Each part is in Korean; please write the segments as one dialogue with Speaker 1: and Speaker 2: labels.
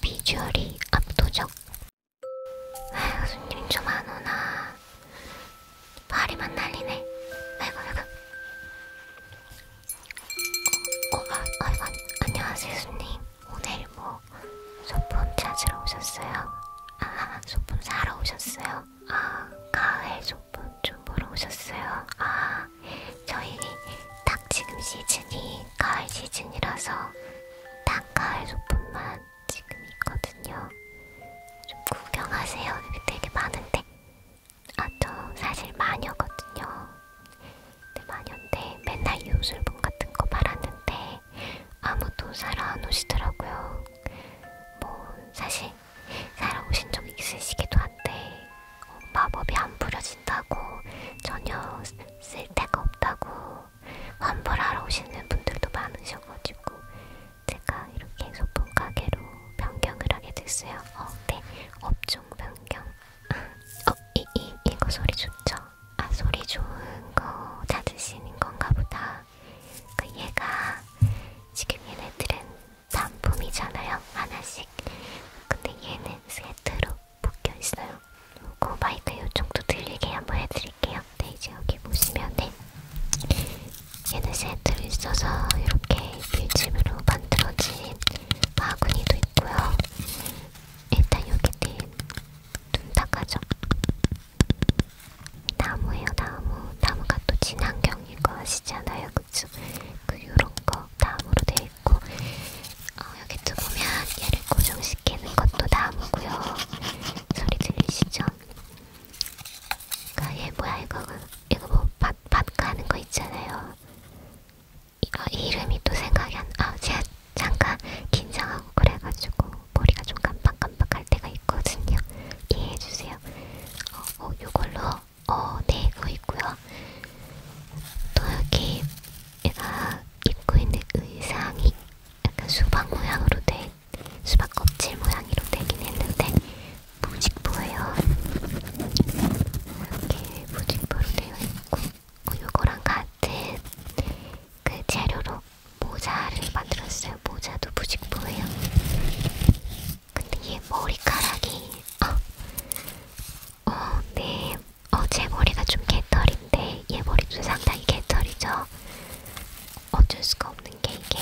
Speaker 1: 비주얼이 압도적. 아휴, 손님 좀안 오나. 파리만 날리네. 아이고, 아이고. 어, 어 아, 아이고, 안녕하세요, 손님. 오늘 뭐, 소품 찾으러 오셨어요? 아, 소품 사러 오셨어요? 아, 가을 소품 좀 보러 오셨어요? 아, 저희 딱 지금 시즌이 가을 시즌이라서 딱 가을 소품만 지금 있거든요. 좀 구경하세요. 되게 많은데. 아, 저 사실 마녀거든요. 근데 마녀인데 맨날 요술봉 같은 거 말았는데 아무도 사러 안 오시더라고요. 뭐, 사실 사러 오신 적 있으시기도 한데 어, 마법이 안 부려진다고 전혀 쓸데가 없다고 환불하러 오시는 분들도 많으셔가지고 제가 이렇게 소품 가게로 변경을 하게 됐어요. 어, 네, 업종 변경. 어, 이, 이, 이거 소리 좋죠? 아, 소리 좋은 거 찾으시는 건가 보다. 그 얘가 지금 얘네들은 단품이잖아요. 하나씩. 근데 얘는 세트로 묶여있어요. 그 마이크 요쪽도 들리게 한번 해드릴게요. 네, 이제 여기 보시면 네. 얘는 세트로 있어서 이렇게 밀집으로 만들어진 마구니도 있고요. 일단 여기 네, 눈 닦아줘. 나무예요, 나무. 나무가 또 친환경인 거 아시잖아요, 그쵸? 그 요런 거 나무로 되어 있고 어, 여기 또 보면 얘를 고정시키는 것도 나무고요. 소리 들리시죠? 그러니까 얘 뭐야 이거 이거 뭐밭 가는 거 있잖아요. 이거 이름이 또 생각이 안. 아 제가 잠깐 긴장하고 그래가지고 머리가 좀 깜빡깜빡할 때가 있거든요. 이해해주세요. 어, 어 요걸로 어, 네, 이거 있고요. 또 여기 얘가 입고 있는 의상이 약간 수박 모양으로 된 수박 껍질 모양으로 되긴 했는데 무직포예요. 이렇게 무직포로 되어 있고 이거랑 그 같은 그 재료로 모자를 만들었어요. 모자도 무직포예요. 근데 얘 머리카락이 어, 어, 네. 어, 제 머리가 좀 개털인데 얘 머리도 상당히 개털이죠. 어쩔 수가 없는 게 이게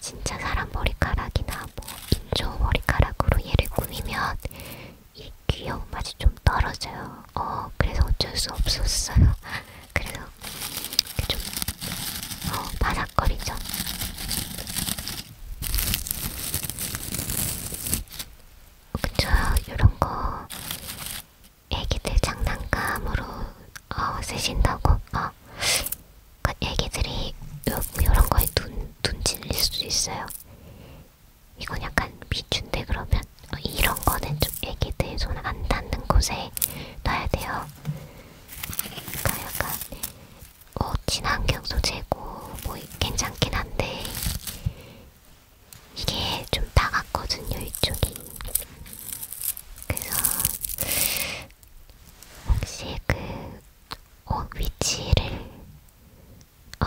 Speaker 1: 진짜 사람 머리카락이나 뭐 인조 머리카락으로 얘를 꾸미면 이 귀여운 맛이 좀 떨어져요. 어, 그래서 어쩔 수 없었어요. 그래서 좀 어, 바삭거리죠. 그쵸 요런거 애기들 장난감으로 어, 쓰신다고 어. 그 애기들이 요, 요런거에 눈, 눈 질릴 수도 있어요 이건 약간 비춘데 그러면 어, 이런거는 좀 애기들 손 안닿는 곳에 놔야돼요 그러니까 약간 어, 친환경 소재고 뭐 괜찮긴 한데 이게 좀 나갔거든요, 이쪽이. 그래서 혹시 그 어, 위치를 어,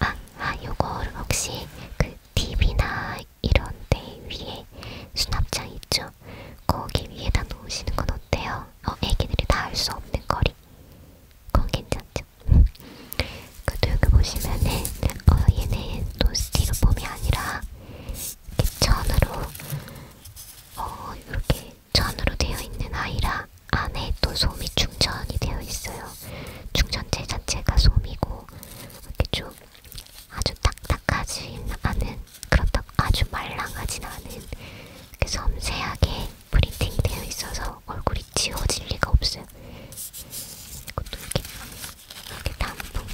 Speaker 1: 아, 아, 요거를 혹시 그 TV나 이런데 위에 수납장 있죠? 거기 위에다 놓으시는 건 어때요? 어, 애기들이 다할수 없는 거리. 그건 괜찮죠? 있죠. 그래도 여기 보시면은 어, 얘네 또 스티로폼이 아니라 이렇게 천으로 어, 이렇게 천으로 되어 있는 아이라 안에 또 솜이 충전이 되어 있어요. 충전재 자체가 솜이고 이렇게 좀 아주 딱딱하진 않은 그렇다고 아주 말랑하진 않은 이렇게 섬세하게 프린팅이 되어 있어서 얼굴이 지워질 리가 없어요. 이것도 이렇게 예, 여기 단풍,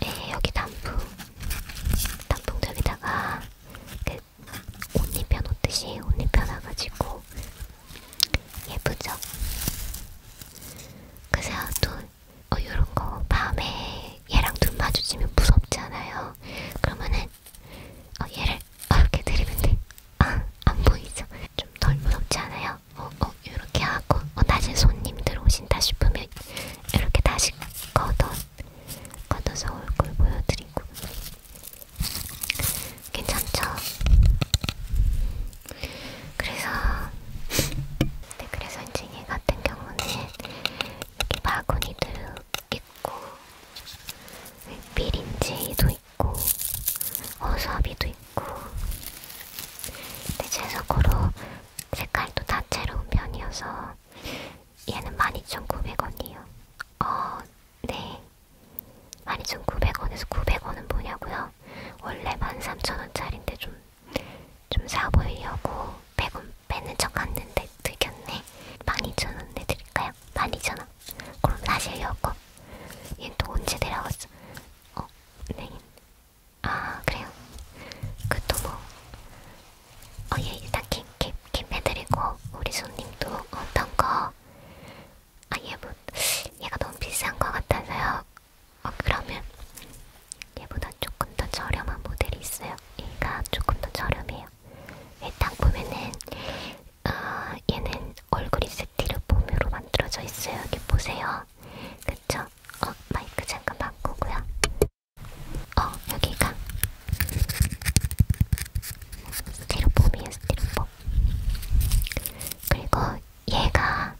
Speaker 1: 네 여기 단풍, 단풍들에다가 그옷 입혀 놓듯이 옷 입혀 놔가지고 예쁘죠? 그래서 또 어, 이런 거 밤에 얘랑 눈 마주치면 무섭잖아요. 그러면은 어, 얘를 어, 이렇게 들이면 돼. 아, 안 보이죠? 좀덜 무섭지 않아요? 어, 어, 이렇게 하고 어, 다시 손님 들어오신다 싶으면 이렇게 다시 걷어 걷어서 얼굴 보여드리고 괜찮죠? 그래서 네, 그래서 이제 얘 같은 경우는 이렇게 바구니도 있고 밀인제도 네, 있고 허수아비도 있고 근데 제 속으로 색깔도 다채로운 편이어서 얘는 12,900원이에요. 어, 네. 12,900원에서 900원은 뭐냐고요? 원래 13,000원짜리인데 좀, 좀 사보려고 100원 빼는 척 갔는데 들켰네. 12,000원 내드릴까요? 12,000원. 그럼 사실 요거 내려왔어. 얘는 또 언제 내려왔어? 어, 네. 아, 그래요. 그것도 뭐, 어, 예, 일단 킵, 킵, 킵 해드리고, 우리 손님도 어떤 거, 아, 얘 뭐, 얘가 너무 비싼 거 같아서요. 어, 그러면, 얘보다 조금 더 저렴한 모델이 있어요. 얘가 조금 더 저렴해요. 일단 보면은, 아, 얘는 얼굴이 스티로폼으로 만들어져 있어요. 여기 보세요. 그쵸? 어, 마이크 잠깐 바꾸고요. 어, 여기가 스티로폼이에요, 스티로폼. 그리고 얘가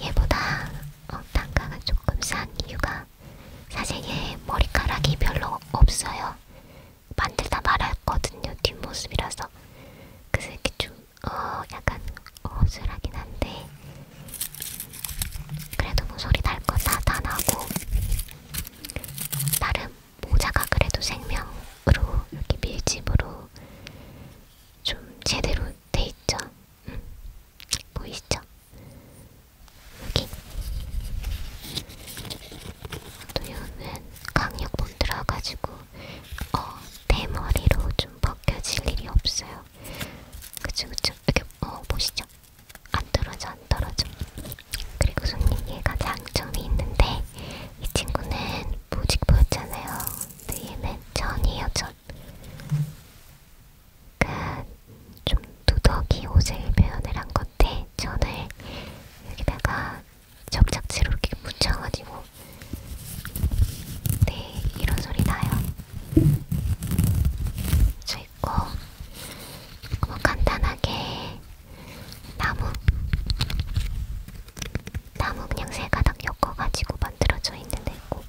Speaker 1: 얘보다 어, 단가가 조금 싼 이유가 사실 얘 머리카락이 별로 없어요. 만들다 말았거든요 뒷모습이라서 그래서 이렇게 좀어 약간 어슬하긴 한데 그래도 뭐 소리 날건다다 나고 나름 모자가 그래도 생명으로 이렇게 밀집으로 좀 제대로 돼 있죠. 음, 보이시죠? 여기 도요는 강력본 들어가지고 어, 대머리로 좀 벗겨질 일이 없어요. 그쵸 그쵸. 이렇게 어 보시죠. 안 떨어져 안 떨어져. 그리고 손님 얘가 장점이 있는데 이 친구는 무직보였잖아요. 근데 얘는 전이에요 전. 그러니까 좀 누더기 옷을 표현을 한 건데 전을 여기다가 접착제로 이렇게 묻혀가지고 네 이런 소리 나요. 저 있고 뭐 간단하게 나무 나무 그냥 세 가닥 엮어가지고 만들어져 있는 데 있고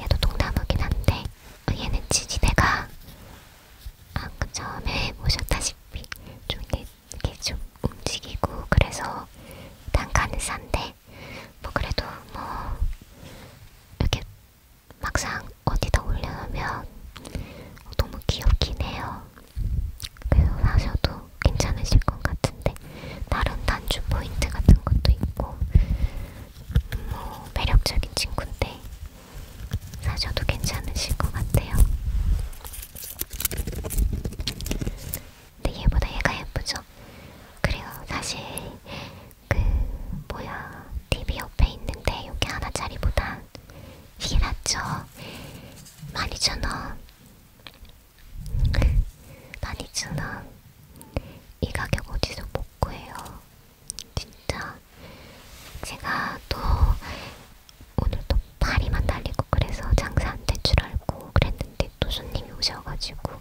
Speaker 1: 얘도 동나무긴 한데 아, 얘는 지지대가 방금 아, 그 처음에 보셨다시피 좀 이렇게 좀 움직이고 그래서 단가는 싼데 뭐 그래도 뭐 이렇게 막상 어디다 올려놓으면 너무 귀엽긴 해요. 그래서 사셔도 괜찮으실 것 같은데 다른 단추 포인트 같은 것도 있고 뭐 매력적인 친구인데 사셔도 괜찮으실 것 같아요. 근데 얘보다 얘가 예쁘죠? 그래요. 사실 그 뭐야 TV 옆에 있는데 요게 하나짜리보다 이게 낫죠? 12,000원 12,000원 이 가격 어디서 못 구해요 진짜 제가 또 오늘 또 파리만 달리고 그래서 장사 안될줄 알고 그랬는데 또 손님이 오셔가지고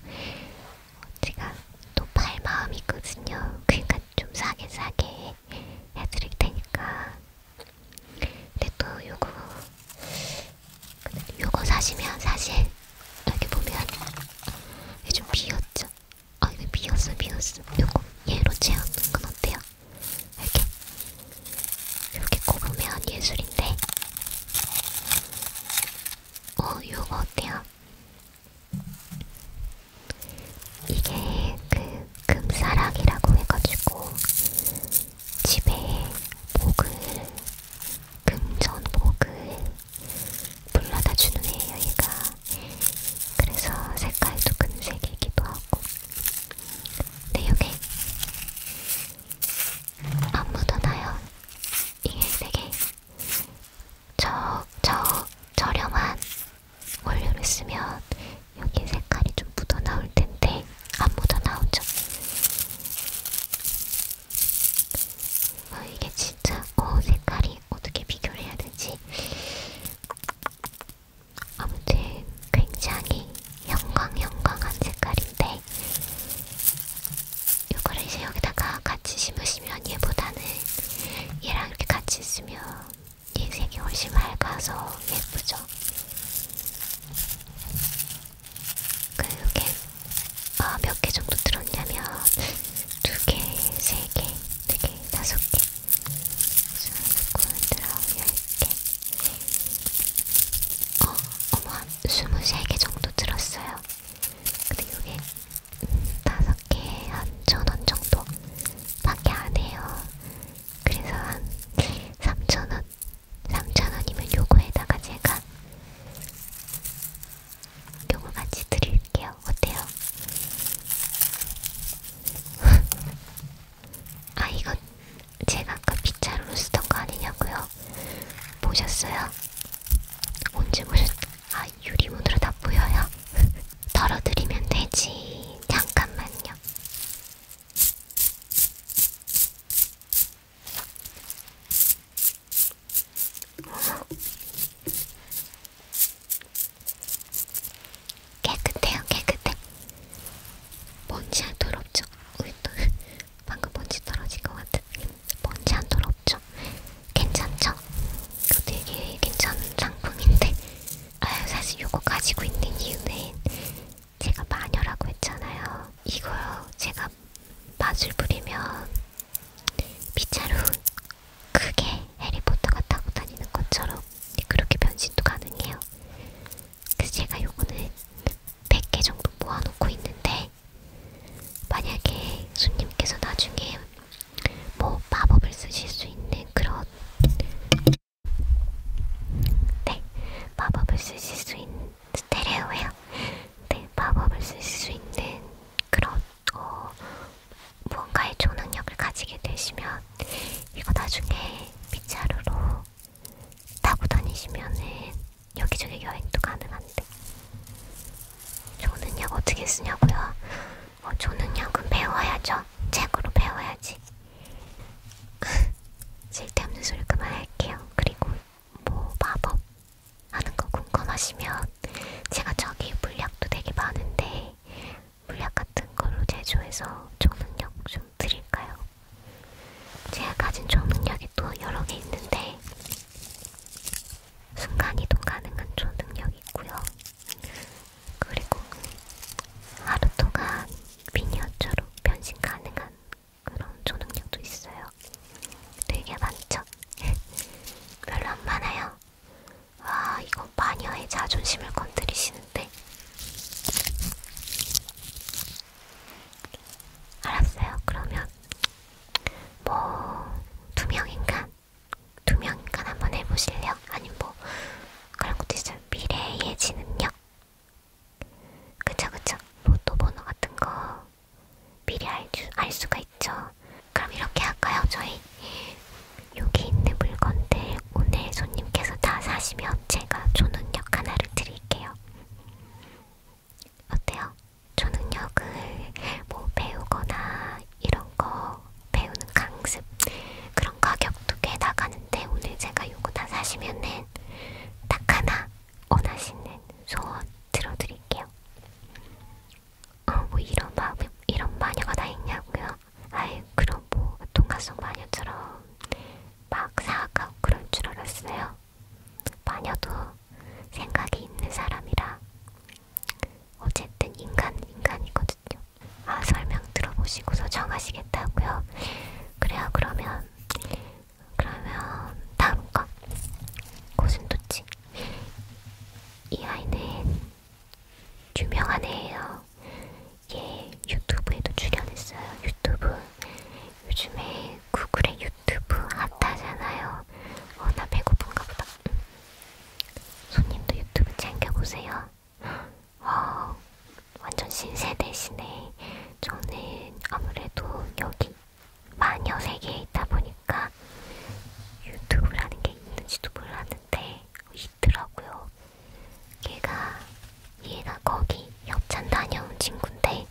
Speaker 1: 제가 또 팔 마음이거든요. 그러니까 좀 싸게 싸게 해드릴 테니까. 근데 또 요거 요거 사시면 사실 여기 보면 좀 비었죠. 아 이거 네, 비었어 비었어 요거 얘로 채우는 건 어때요? 이렇게 이렇게 꼽으면 예술인데 어 요거 어때요? 이게 그 금사락이라고 해가지고 집에 목을 금전목을 불러다 주는 애예요 얘가 그래서 색깔도 금색이기도 하고. 근데 이게 안 묻어나요. 이게 되게 저, 저, 저렴한 원료를 쓰면 여기 색깔이 좀 묻어나올 텐데 안 묻어나오죠. 어, 이게 진짜 어 색깔이 어떻게 비교를 해야 되지? 아무튼 굉장히 영광 영광한 색깔인데 이거를 이제 여기다가 같이 심으시면 얘보다는 얘랑 이렇게 같이 있으면 얘 색이 훨씬 맑아서 예쁘죠. 그게 어, 아, 몇 개 정도 들었냐면 두 개, 세 개, 네 개, 다섯 개. 스물두고 열개 어, 어머 한 23개 정도 들었어요. 근데 이게 다섯 개에 한천 원 정도 밖에 안 해요. 그래서 한 3천원, 3천원이면 요거에다가 제가 요거 같이 드릴게요. 어때요? 아 이거 제가 아까 빗자루로 쓰던 거 아니냐고요? 보셨어요? 언제 보셨? 아 유리문으로 다 보여요? 덜어드리면 되지. 잠깐만요. 깨끗해요, 깨끗해. 먼지 안 더럽죠? 우리 또 방금 먼지 떨어진 것 같은. 먼지 안 더럽죠? 괜찮죠? 이거 되게 괜찮은 상품인데. 아유, 사실 요거 가지고 있는 이유는 제가 마녀라고 했잖아요. 이거요, 제가 맛을 부리면 빗자루 크게 해리포터가 타고 다니는 것처럼 그렇게 변신도 가능해요. 그래서 제가 요거는 100개 정도 모아놓고 있는데 만약에 손님께서 나중에 뭐 마법을 쓰실 수 있는 그런 네 마법을 쓰실 수 있는 스테레오예요. 네 마법을 쓰실 수 있는 그런 어 무언가의 초능력을 가지게 되시면 이거 나중에 빗자루로 타고 다니시면은 여기저기 여행도 가능한데 초능력 어떻게 쓰냐고요? 어, 초능력은 배워야죠. 책으로 배워야지. 쓸데없는 소리 그만할게요. 그리고 뭐 마법 하는 거 궁금하시면 제가 저기 물약도 되게 많은데 물약 같은 걸로 제조해서 초능력 좀 드릴까요? 제가 가진 초능력이 또 여러 개 있는데 순간이동 가능한 초능력이 있고요. 그리고 하루토가 미니어처로 변신 가능한 그런 초능력도 있어요. 되게 많죠? 별로 안 많아요. 와, 아, 이건 마녀의 자존심을 건드리시는데. 알았어요. 그러면 뭐 두명 인간, 두명 인간 한번 해보실래요? 아니면 뭐 그런 것도 있어요. 미래의 지능력. 그쵸 그쵸. 로또 뭐 번호 같은 거 미리 알, 수, 알 수가 있죠. 그럼 이렇게 할까요? 저희 여기 있는 물건들 오늘 손님께서 다 사시면 제가 초능력 하나를 드릴게요. 어때요? 초능력을 뭐 배우거나 이런 거 배우는 강습 그런 가격도 꽤 나가는데 오늘 제가 요거 다 사시면은 딱 하나 원하시는 소원 들어드릴게요. 어뭐 이런 마 이런 마녀가 다 있냐고요? 아이 그럼 뭐 동화속 마녀처럼 막 사악하고 그럴 줄 알았어요. 마녀도 생각이 있는 사람이라 어쨌든 인간 인간이거든요. 아 설명 들어보시고서 정하시겠다고요. 그래요 그러면 그러면 다음 거 고슴도치 이 아이는 유명한 애예요. 얘 예, 유튜브에도 출연했어요. 유튜브 요즘에 구글에 유튜브 핫하잖아요. 어, 나 배고픈가 보다. 손님도 유튜브 챙겨보세요. 어, 완전 신세대시네. 저는 아무래도 여기 마녀 세계에 있다 보니까 유튜브라는 게 있는지도 몰랐는데 이 있더라고요. 걔가 얘가 거기 협찬 다녀온 친구인데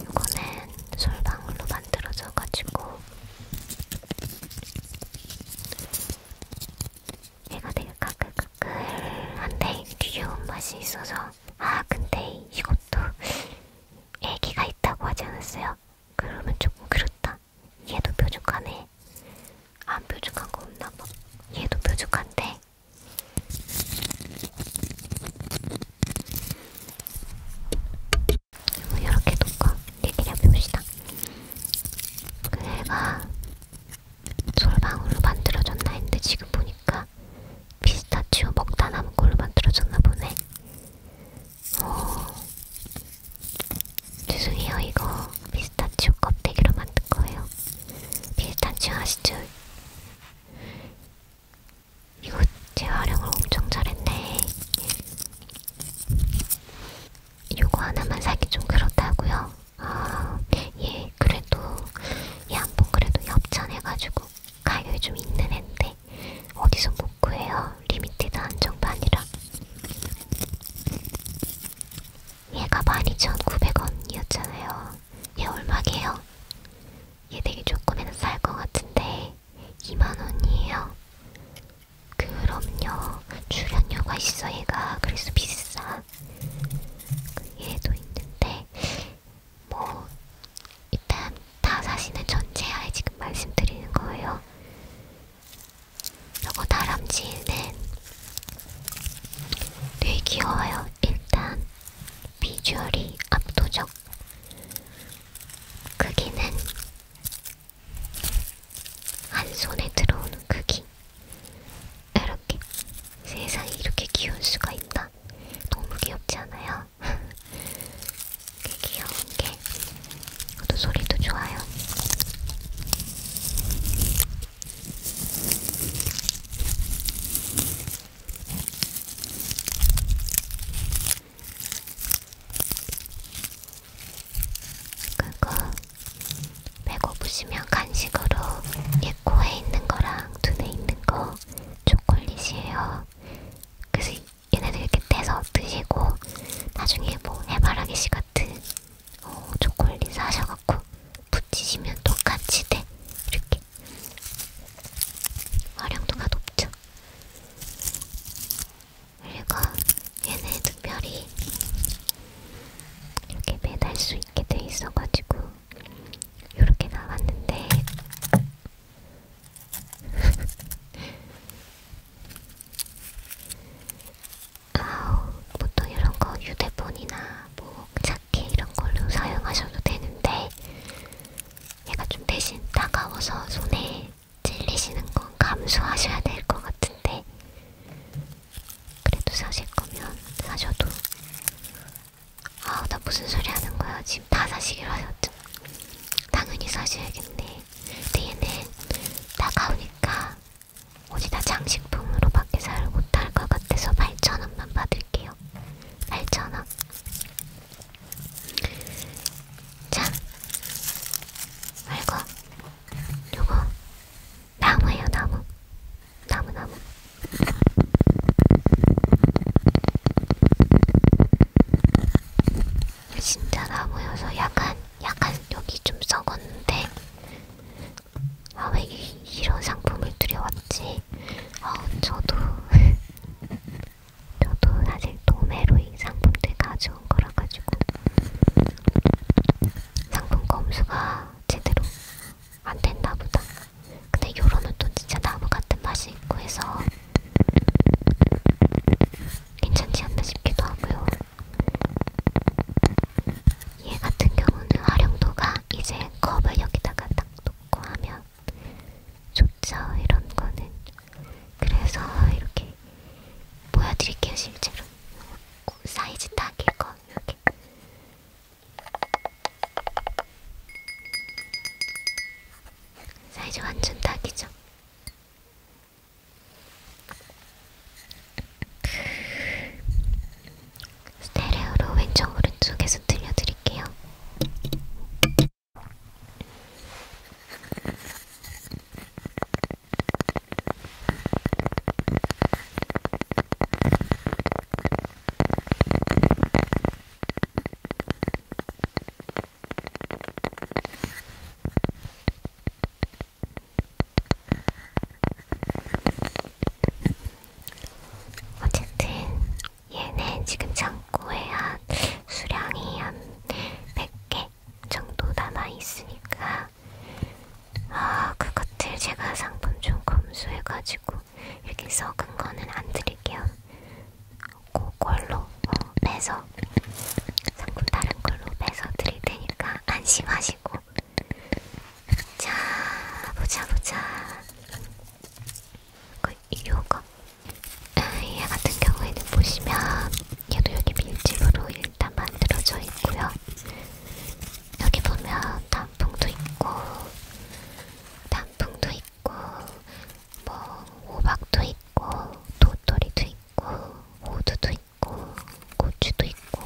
Speaker 1: 이거는 솔방울로 만들어져가지고 얘가 되게 까끌까끌한데 귀여운 맛이 있어서 아 근데 이것도 애기가 있다고 하지 않았어요? 그러면 조금 그렇다. 아, 얘도 뾰족하네. 안 뾰족한 거 없나 봐. 얘도 뾰족한데. 뭐 이렇게 놓고 얘기를 해봅시다. 그 애가 솔방울로 만들어졌나 했는데 지금 보니까 피스타치오 먹다 남은 걸로 만들어졌나 보네. 어... 죄송해요 이거 피스타치오 껍데기로 만든 거예요. 피스타치오 아시죠? 이거 재활용을 엄청 잘했네. 요거 하나만 사기 좀 그렇다고요. 아, 예, 그래도 얘한번 예, 그래도 협찬해가지고 가격이 좀 있는 앤데 어디서 뭐못 구해요. 리미티드 한정판이라. 얘가 12,900원이었잖아요. 얘 얼마게요? 얘 되게 조금에는 쌀것 같은데 2만원이에요. 그럼요. 출연료가 있어 얘가. 그래서 비싸. 얘도 있는데 뭐 일단 다 사시는 전제하에 지금 말씀드리는 거예요. 요거 다람쥐는 되게 귀여워요. 일단 비주얼이 압도적. 크기는 한 손에 들어오는 크기. 이렇게 세상에 이렇게 귀여울 수가 있나? 너무 귀엽지 않아요? 되게 귀여운 게 이것도 소리도 좋아요. 그리고 배고프시면 간식으로 예코에 있는 거랑 눈에 있는 거 초콜릿이에요. 그래서 얘네들 이렇게 떼서 드시고 나중에 뭐 해바라기씨 같은 어, 초콜릿 사셔갖고 붙이시면 똑같이 돼 이렇게 활용도가 높죠. 그리고 얘네 특별히 이렇게 매달 수 있게 돼 있어가지고 이렇게 나왔는데 아우, 보통 이런 거 휴대폰이나 뭐 자켓 이런 걸로 사용하셔도 되는데 얘가 좀 대신 따가워서 손에 찔리시는 건 감수하셔야 될 것 같은데 그래도 사실 거면 사셔도 아우 나 무슨 소리 하는 거야 지금 다 사시기로 하셨죠? 당연히 사셔야겠네 뒤에는 따가우니까 옷이나 장식품으로밖에 살 못할 것 같아서 8,000원만 받을게요. 8,000원. 자, 말고 요거 나무예요, 나무. 나무, 나무. 신자라 보여서 약간 약간 여기 좀 썩었는데 아 왜 이런 상품을 들여왔지? 아 저도 저도 사실 도매로 이 상품들 가져온 거라 가지고 상품 검수가 제대로 안 됐나 보다. 근데 요런은 또 진짜 나무 같은 맛이 있고 해서 괜찮지 않나 싶기도 하고요. 얘 같은 경우는 활용도가 이제 컵을 여기다가 딱 놓고 하면 좋죠. 이런 거는. 그래서 이렇게 보여드릴게요. 실제로. 사이즈 딱 이거. 이렇게. 사이즈 완전 딱이죠. 스테레오로 왼쪽 오른쪽에서 들려드릴게요. 어쨌든 얘네 지금 창고에 한 수량이 한 100개 정도 남아있으니까 아 그것들 제가 상품 좀 검수해가지고 이렇게 썩은 거는 안 드릴게요. 그걸로 어, 빼서 상품 다른 걸로 빼서 드릴 테니까 안심하시고 자 보자 보자 그 요거 아, 얘 같은 경우에는 보시면 얘도 여기 밀집으로 일단 만들어져 있고요 여기 보면 단풍도 있고 단풍도 있고 뭐 호박도 있고 도토리도 있고 호두도 있고 있고 고추도 있고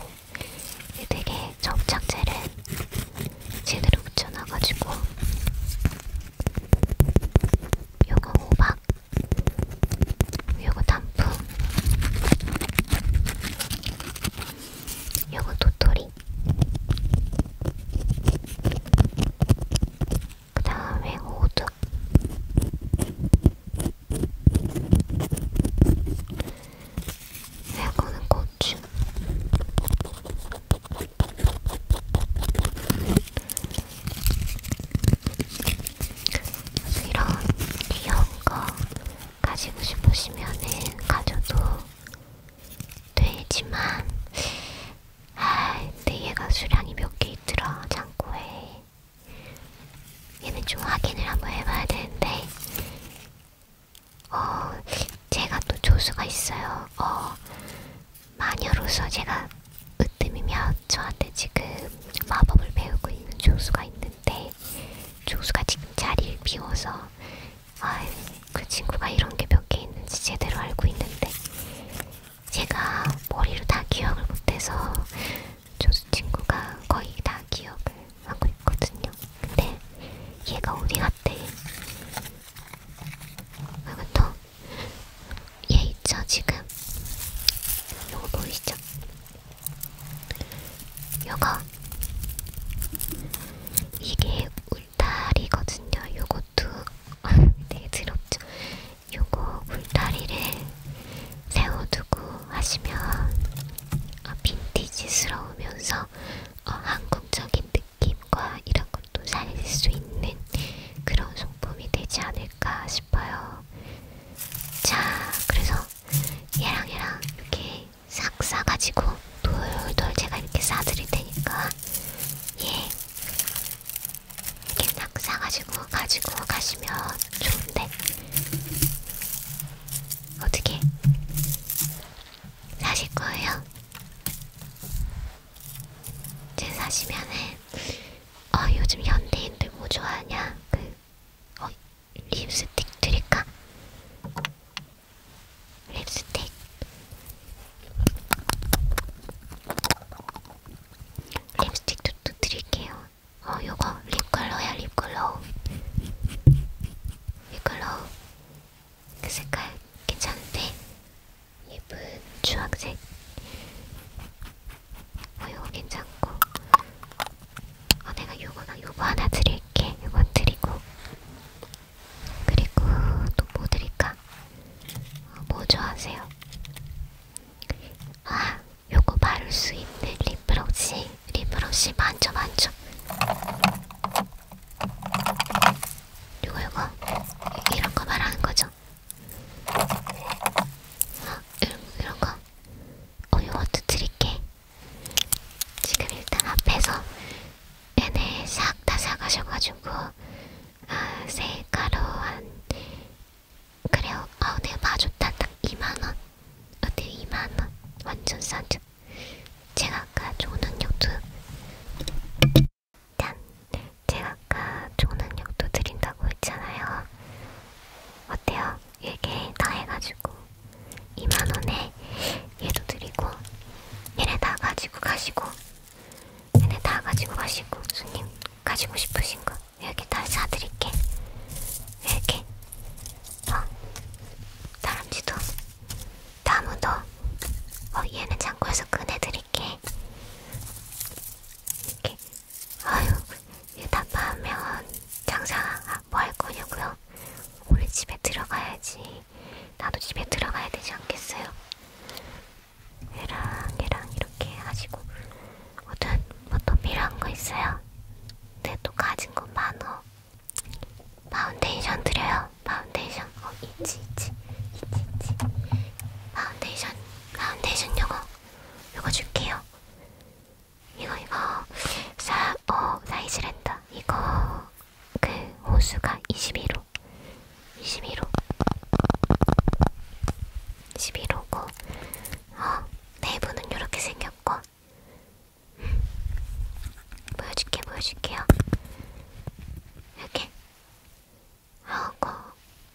Speaker 1: 되게 접착제를 제대로 붙여놔가지고 요거 호박 요거 단풍 요거 도토리 그 다음에 호두 이거는 고추 이런 귀여운 거 가지고 싶으시면은 가져도 되지만 아 근데 얘가 수량이 몇 개 있더라 창고에 얘는 좀 확인을 한번 해봐야 되는데 어 제가 또 조수가 있어요. 어 마녀로서 제가 으뜸이면 저한테 지금 마법을 배우고 있는 조수가 있는데 조수가 지금 자리를 비워서 아그 친구가 이런 게 몇 개 있는지 제대로 알고 있는데 제가 머리로 다 기억을 못해서 조수 친구가 거의 다 기억을 하고 있거든요. 근데 얘가 어디 갔대? 그리고 또얘 있죠 지금? 요거 보이시죠? 요거 이게 울타리거든요. 요것도 되게 더럽죠. 요거 굴다리를 세워두고 하시면 어, 빈티지스러우면서 어, 한국적인 느낌과 이런 것도 살릴 수 있는 그런 소품이 되지 않을까 싶어요. 자, 그래서 얘랑 얘랑 이렇게 싹 싸가지고 돌돌 제가 이렇게 싸드릴 테니까 예 그냥 사가지고 가지고 가시면 좋은데 어떻게 사실 거예요? 이제 사시면은 어 요즘 현대인들 뭐 좋아하냐 그 어, 립스틱 드릴까? 립스틱 립스틱도 또 드릴게요. 어 요거 립컬러야 립컬러 립컬러 그 색깔 괜찮은데 예쁜 주황색 어 요거 괜찮고 어 내가 요거랑 요거 하나 드릴게 요건 드리고 그리고 또 뭐 드릴까? 어, 뭐 좋아하세요? 아 요거 바를 수 있는 립브러시 립브러시 만져 만져 요거 요거 이런거 말하는거죠 아, 음, 이런, 이런거 어 요것도 드릴게 지금 일단 앞에서 얘네 싹다 사가셔가지고 아, 세 가루 한 그래요. 아, 내가 네, 봐줬다. 딱 2만원. 어때요? 아, 2만원. 완전 싸죠? 제가 아까 조은역도 짠! 제가 아까 조은역도 드린다고 했잖아요. 어때요? 이렇게 다 해가지고 2만원에 얘도 드리고 얘네 다 가지고 가시고 얘네 다 가지고 가시고 손님 가지고 싶으신 거 여기 다 사드릴게. 이렇게. 어. 다람쥐도. 나무도. 어, 얘는 창고에서 꺼내드릴게. 이렇게. 아유, 이다 파면 장사 아, 뭐할 거냐고요? 오늘 집에 들어가야지. 나도 집에 들어가야 되지 않겠어요? 얘랑 얘랑 이렇게 하시고 뭐든 뭐또 필요한 거 있어요? 근데 네, 또 가진 건 많어. 파운데이션 드려요. 파운데이션. 어, 있지, 있지. 있지, 있지. 파운데이션. 파운데이션 요거. 요거 줄게요. 이거, 이거. 사, 어, 사이즈랜다. 이거. 그, 호수가 21호. 21호. 21호고. 어, 내부는 이렇게 생겼고 보여줄게 보여줄게요. 이렇게 하고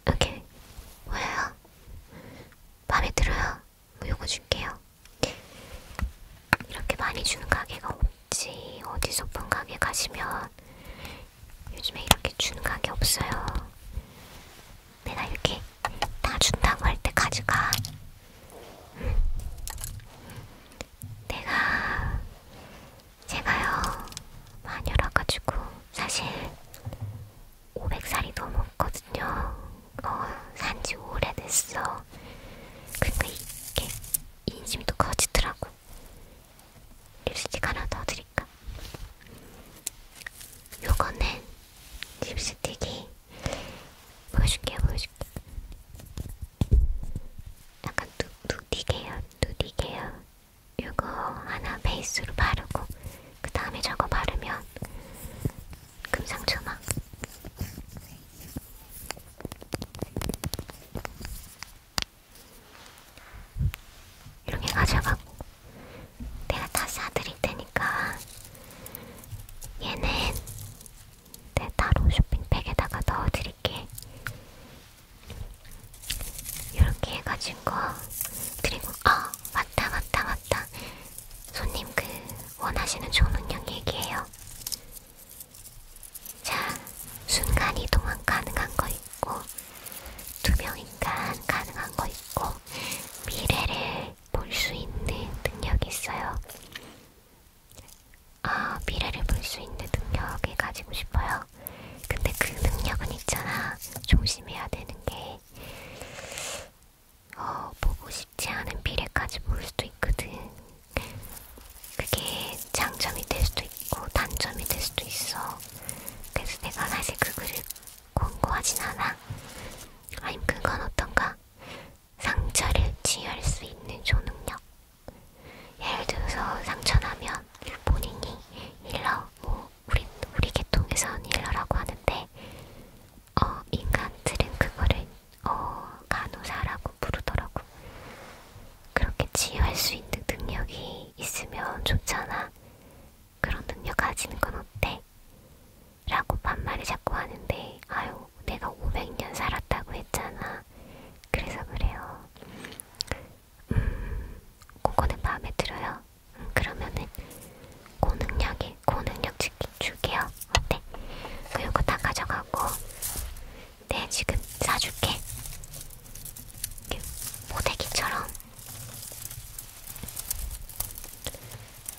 Speaker 1: 이렇게 보여요. 마음에 들어요. 뭐 요거 줄게요. 이렇게 많이 주는 가게가 없지. 어디 소품 가게 가시면 요즘에 이렇게 주는 가게 없어요. 내가 이렇게 다 준다고 할 때 가져가. 응. 내가 제가요 마녀라가지고 사실 500살이 넘었거든요. 어, 산지 오래됐어. 그러니까 이게 인심도 커지더라고. 립스틱 하나 더 드릴게요. 있으니까. 요거는 립스틱이 보여줄게요, 보여줄게. 약간 누, 누디 계열, 누디 계열. 요거 하나 베이스로 바르고, 그 다음에 저거 바르면 금상첨화. 이렇게 가져가고 내가 다 사드릴 테니까 얘는 내 따로 쇼핑백에다가 넣어드릴게. 이렇게 해가지고 그리고 아 어, 맞다 맞다 맞다 손님 그 원하시는 좋은 운영 얘기해요. 자 순간 이동은 가능한 거 있고 두 명인간 가능한 거 있고 미래를 볼 수 있는 능력이 있어요. 아, 미래를 볼 수 있는 능력을 가지고 싶어요. 근데 그 능력은 있잖아. 조심해야 되는 게. 어, 보고 싶지 않은 미래까지 볼 수도 있거든. 그게 장점이 될 수도 있고 단점이 될 수도 있어. 그래서 내가 사실 그 글을 공고하진 않아. 아님 그건 어떤가? 상처를 치유할 수 있는 조능력. 예를 들어서 상처나면 본인이 일러, 뭐 우리 우리 계통에선 일러라고 하는데, 어 인간들은 그거를 어 간호사라고 부르더라고. 그렇게 치유할 수 있는 능력이 있으면 좋잖아. 그런 능력 가지는 건 어때? 라고 반말을 자꾸 하는데 아유 내가 500년 살았다고 했잖아. 그래서 그래요. 음, 그거는 마음에 들어요. 음, 그러면은 고능력에 고능력 치킨 줄게요. 어때? 그리고 다 가져가고 네 지금 사줄게. 모대기처럼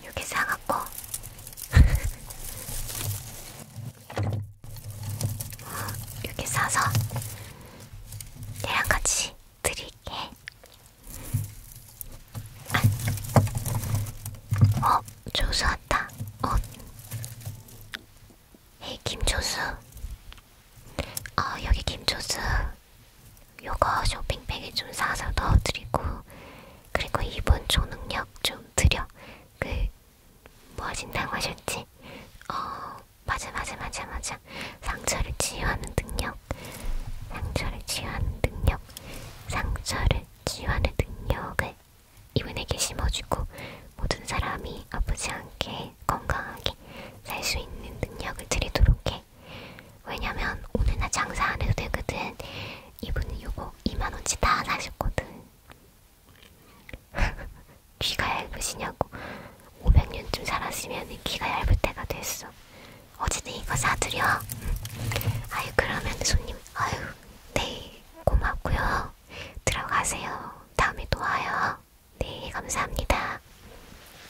Speaker 1: 여기 사갖고 여기 사서 얘랑 같이 드릴게. 어, 조수 왔다. 어, 에이 네, 김조수. 어, 여기 김조수. 요거 쇼핑백에 좀 사서 넣어드리고 그리고 이번 초능력 좀 드려 그 뭐하신다고 하셨지? 어 맞아 맞아 맞아 맞아 상처를 치유하는 능력 상처를 치유하는 능력 상처를 치유하는 능력을 이분에게 심어주고 모든 사람이 아프지 않게 건강하게 살 수 있는 능력을 드리도록 해 왜냐면 오늘 나 장사 안 해도 되거든. 이분은 요거 2만원치 다 사셨거든. 귀가 얇으시냐고. 500년쯤 살았으면 귀가 얇을 때가 됐어. 어쨌든 이거 사드려. 아유, 그러면 손님, 아유, 네, 고맙고요. 들어가세요. 다음에 또 와요. 네, 감사합니다.